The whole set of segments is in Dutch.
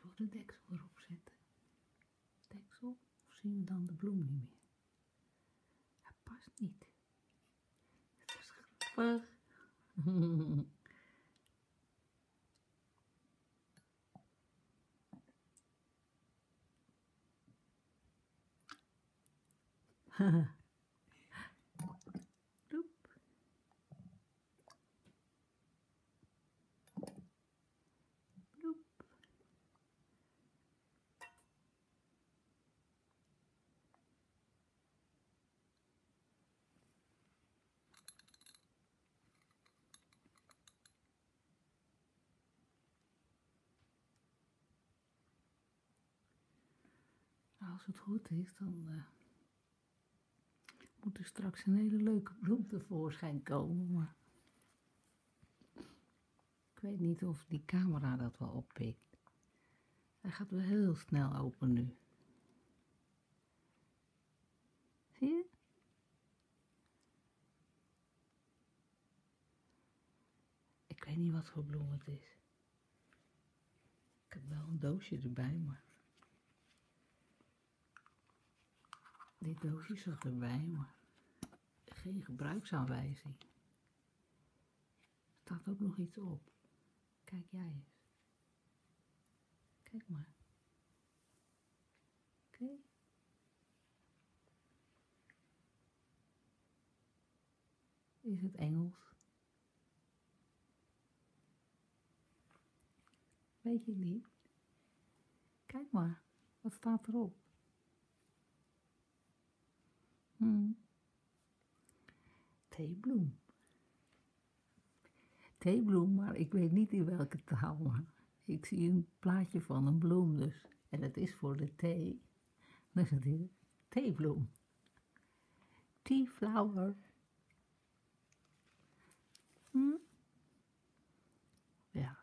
Zullen de deksel erop zetten? Deksel? Of zien we dan de bloem niet meer? Het past niet. Het is grappig. Roep. Nou, als het goed is, dan eh, moet er straks een hele leuke bloem tevoorschijn komen. Ik weet niet of die camera dat wel oppikt. Hij gaat wel heel snel open nu. Zie je? Ik weet niet wat voor bloem het is. Ik heb wel een doosje erbij, maar... Dit doosje zag erbij, maar geen gebruiksaanwijzing. Er staat ook nog iets op. Kijk jij eens. Kijk maar. Oké. Is het Engels? Weet je niet? Kijk maar, wat staat erop? Hmm. Theebloem. Theebloem, maar ik weet niet in welke taal. Ik zie een plaatje van een bloem dus. En het is voor de thee. Dus het hier, theebloem. Tea flower. Hmm. Ja,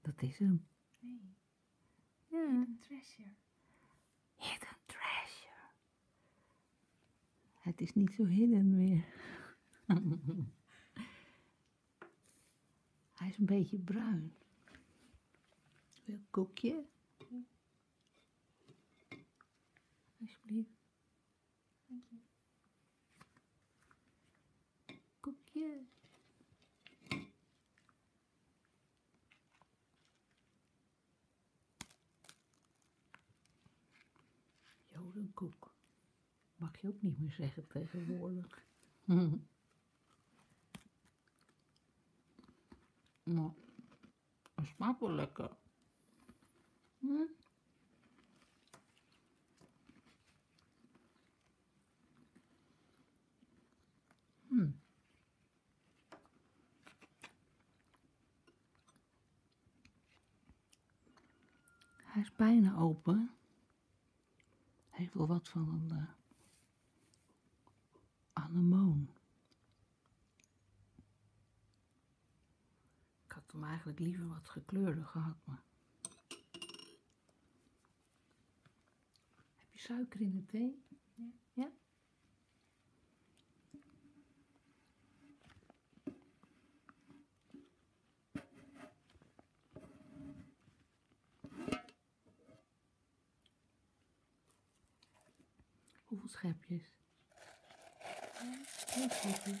dat is hem. Nee. Ja. Hidden treasure. Hidden treasure. Het is niet zo hidden meer. Hij is een beetje bruin. Wil een koekje? Alsjeblieft. Dank je. Koekje. Jodenkoek. Mag je ook niet meer zeggen tegenwoordig. maar nou, het smaakt wel lekker. Hm? Hm, Hij is bijna open. Heeft wel wat van een eh, Ik had hem eigenlijk liever wat gekleurder gehad, heb je suiker in de thee? Ja. ja? Hoeveel schepjes? Ja, schepjes.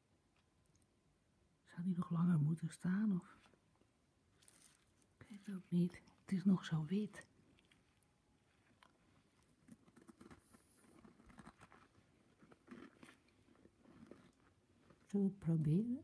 Zou die nog langer moeten staan? Of... Ik weet ook niet. Het is nog zo wit. Zullen we het proberen?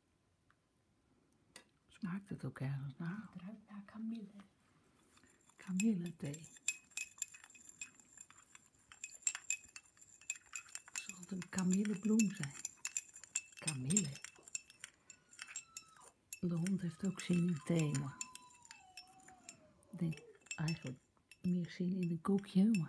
Smaakt het ook ergens naar? Het ruikt naar kamille. Kamille thee. Zal het een kamillebloem zijn? Kamille. De hond heeft ook zin in thee, maar ik denk eigenlijk meer zin in een koekje,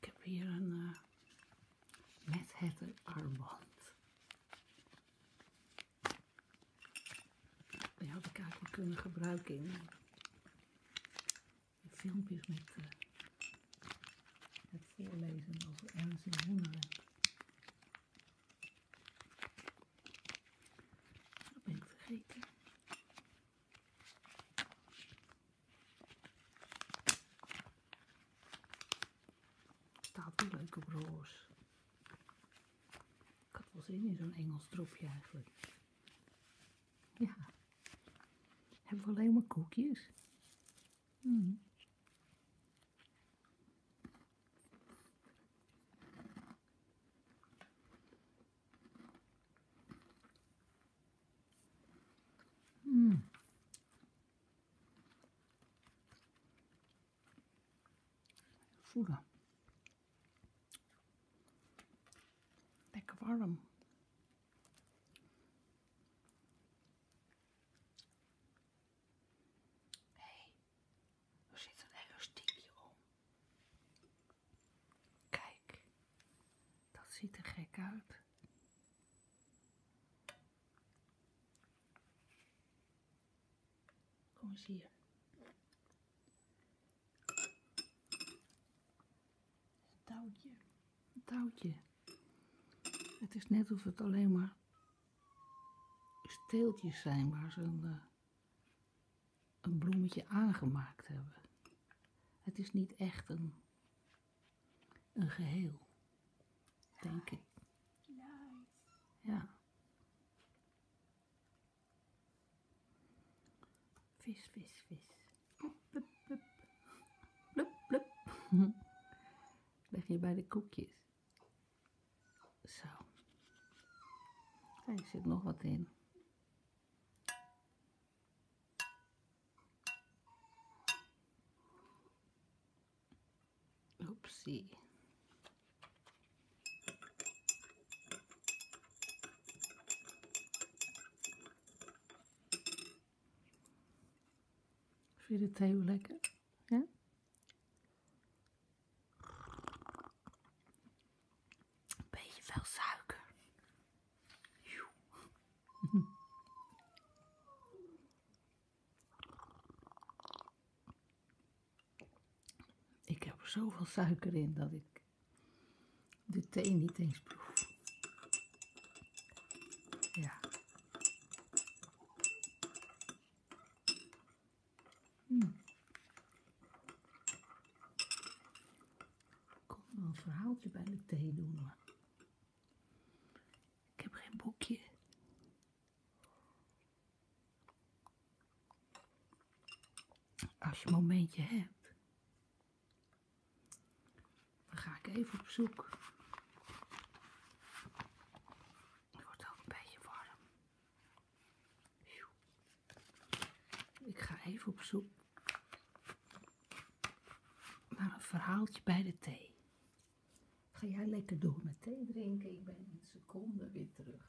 Ik heb hier een eh, met het armband. Die had ik eigenlijk kunnen gebruiken in, filmpjes met eh, het voorlezen over Ernst en Dat ben ik vergeten. Staat wel leuk roos. Ik had wel zin in zo'n Engels Ja. Hebben we alleen koekjes? Hmm. Hmm. Voelen. Lekker warm. Hey, er zit een elastiekje om. Kijk, dat ziet er gek uit. Kom eens hier. Een touwtje. Een touwtje. Het is net of het alleen maar steeltjes zijn waar ze een, eh, een bloemetje aangemaakt hebben. Het is niet echt een een geheel, denk ik. Ja. Vis, vis, vis. Plup, plup, plup. Plup, Leg je bij de koekjes. Zo. Kijk, er zit nog wat in. Oepsie. Vind je de thee lekker? Ja? Beetje veel suiker. Ik heb er zoveel suiker in dat ik de thee niet eens proef. Ja. Hmm. Ik een verhaaltje bij de thee doen, ik heb geen boekje. Als je een momentje hebt, dan ga ik even op zoek. Het wordt ook een beetje warm. Ik ga even op zoek maar een verhaaltje bij de thee. Ga jij lekker door met thee drinken? Ik ben een seconde weer terug.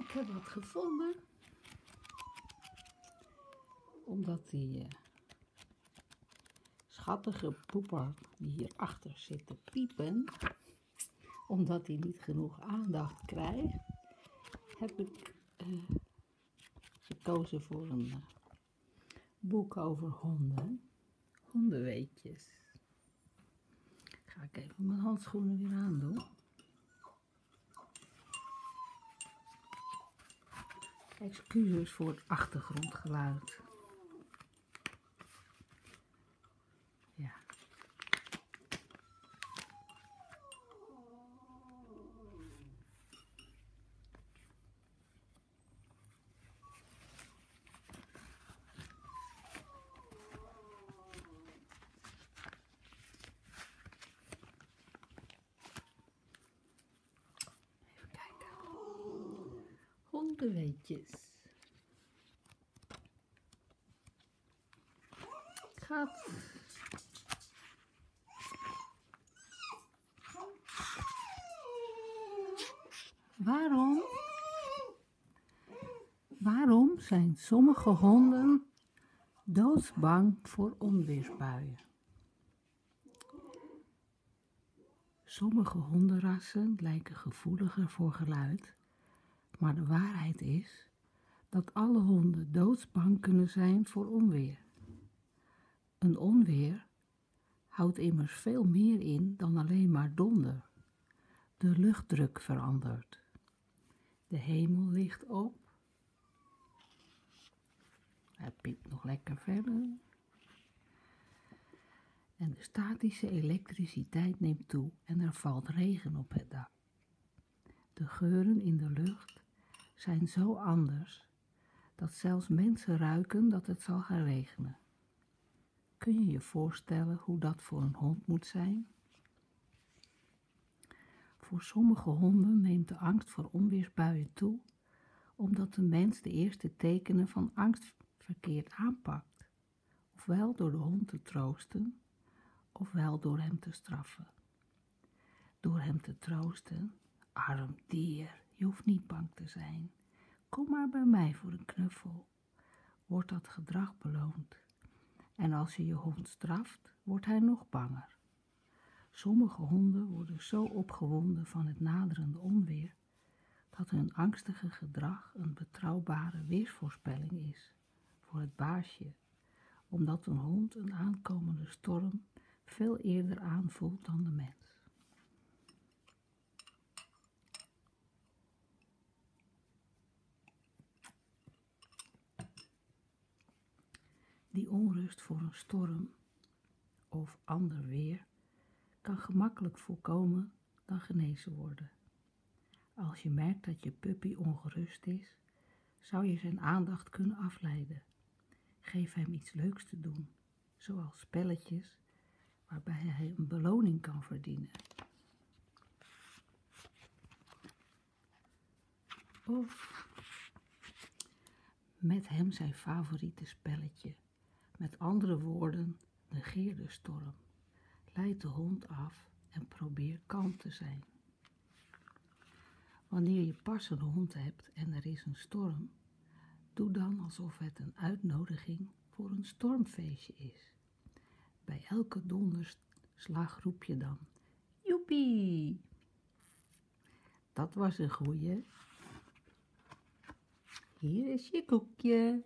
Ik heb wat gevonden. Omdat die eh, schattige poepa die hierachter zit te piepen, omdat hij niet genoeg aandacht krijgt, heb ik eh, gekozen voor een eh, boek over honden. Hondenweetjes. Ga ik even mijn handschoenen weer aan doen. Excuses voor het achtergrondgeluid. Ja. Even Hondenweetjes. Waarom Waarom zijn sommige honden doodsbang voor onweersbuien? Sommige hondenrassen lijken gevoeliger voor geluid, maar de waarheid is dat alle honden doodsbang kunnen zijn voor onweer. Een onweer houdt immers veel meer in dan alleen maar donder de luchtdruk verandert. De hemel ligt op. Hij piept nog lekker verder. En de statische elektriciteit neemt toe en er valt regen op het dak. De geuren in de lucht zijn zo anders dat zelfs mensen ruiken dat het zal gaan regenen. Kun je je voorstellen hoe dat voor een hond moet zijn? Voor sommige honden neemt de angst voor onweersbuien toe, omdat de mens de eerste tekenen van angst verkeerd aanpakt, ofwel door de hond te troosten, ofwel door hem te straffen. Door hem te troosten, arm dier, je hoeft niet bang te zijn, kom maar bij mij voor een knuffel wordt dat gedrag beloond. En als je je hond straft, wordt hij nog banger. Sommige honden worden zo opgewonden van het naderende onweer dat hun angstige gedrag een betrouwbare weersvoorspelling is voor het baasje, omdat een hond een aankomende storm veel eerder aanvoelt dan de mens. Die onrust voor een storm of ander weer kan gemakkelijk voorkomen dan genezen worden. Als je merkt dat je puppy ongerust is, zou je zijn aandacht kunnen afleiden. Geef hem iets leuks te doen, zoals spelletjes waarbij hij een beloning kan verdienen. Of met hem zijn favoriete spelletje. Met andere woorden, negeer de storm. Leid de hond af en probeer kalm te zijn. Wanneer je pas een hond hebt en er is een storm, doe dan alsof het een uitnodiging voor een stormfeestje is. Bij elke donderslag roep je dan: Joepie! Dat was een goeie. Hier is je koekje.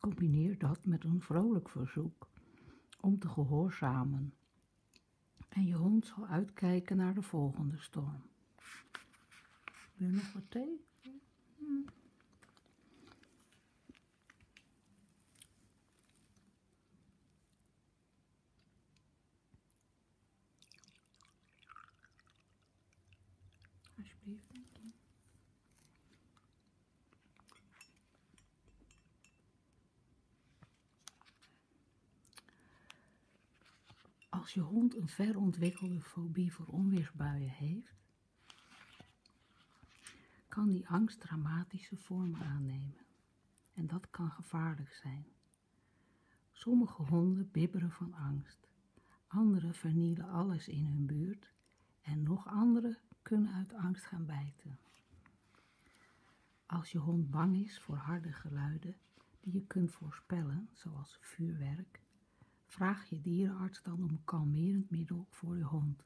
Combineer dat met een vrolijk verzoek om te gehoorzamen. En je hond zal uitkijken naar de volgende storm. Wil nog wat thee? Alsjeblieft, als je hond een verontwikkelde fobie voor onweersbuien heeft, kan die angst dramatische vormen aannemen. En dat kan gevaarlijk zijn. Sommige honden bibberen van angst. andere vernielen alles in hun buurt en nog anderen kunnen uit angst gaan bijten. Als je hond bang is voor harde geluiden die je kunt voorspellen, zoals vuurwerk, vraag je dierenarts dan om een kalmerend middel voor je hond.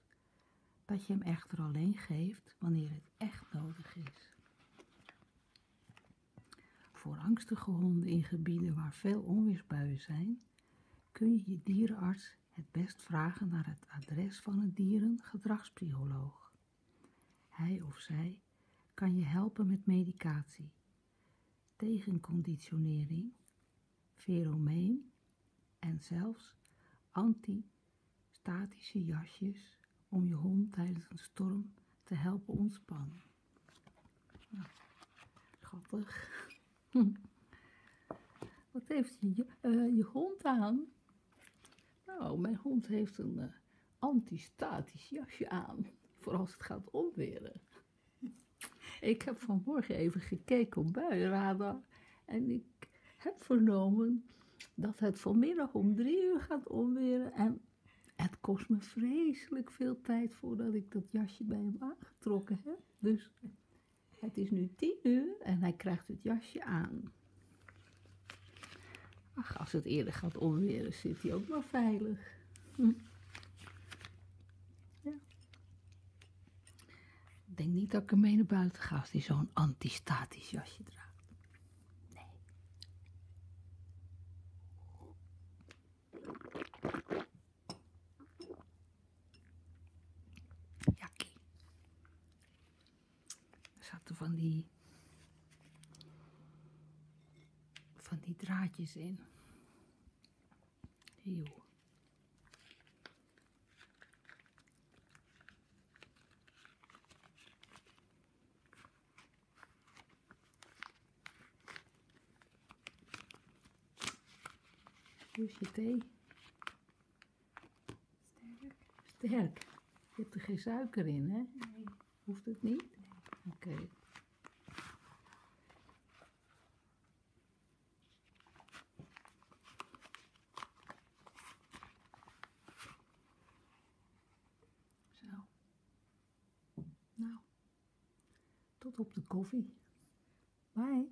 Dat je hem echter alleen geeft wanneer het echt nodig is. Voor angstige honden in gebieden waar veel onweersbuien zijn, kun je je dierenarts het best vragen naar het adres van een dierengedragspsycholoog. Hij of zij kan je helpen met medicatie, tegenconditionering, feromeen en zelfs anti-statische jasjes om je hond tijdens een storm te helpen ontspannen. schattig. Wat heeft je, eh, je hond aan? Nou, mijn hond heeft een eh, antistatisch jasje aan. Voor als het gaat omweren. ik heb vanmorgen even gekeken op buienradar. En ik heb vernomen dat het vanmiddag om drie uur gaat omweren. En het kost me vreselijk veel tijd voordat ik dat jasje bij hem aangetrokken heb. Dus het is nu tien uur en hij krijgt het jasje aan. Ach, als het eerder gaat onweren, zit hij ook wel veilig. Hm. Ik denk niet dat ik ermee naar buiten ga als hij zo'n antistatisch jasje draagt. Nee. Jakkie. Er zaten van die, van die draadjes in. Eeuw. Hoe is je thee? Sterk. Sterk. Je hebt er geen suiker in, hè? Nee. Hoeft het niet? Oké. Zo. Nou. Tot op de koffie. Bye.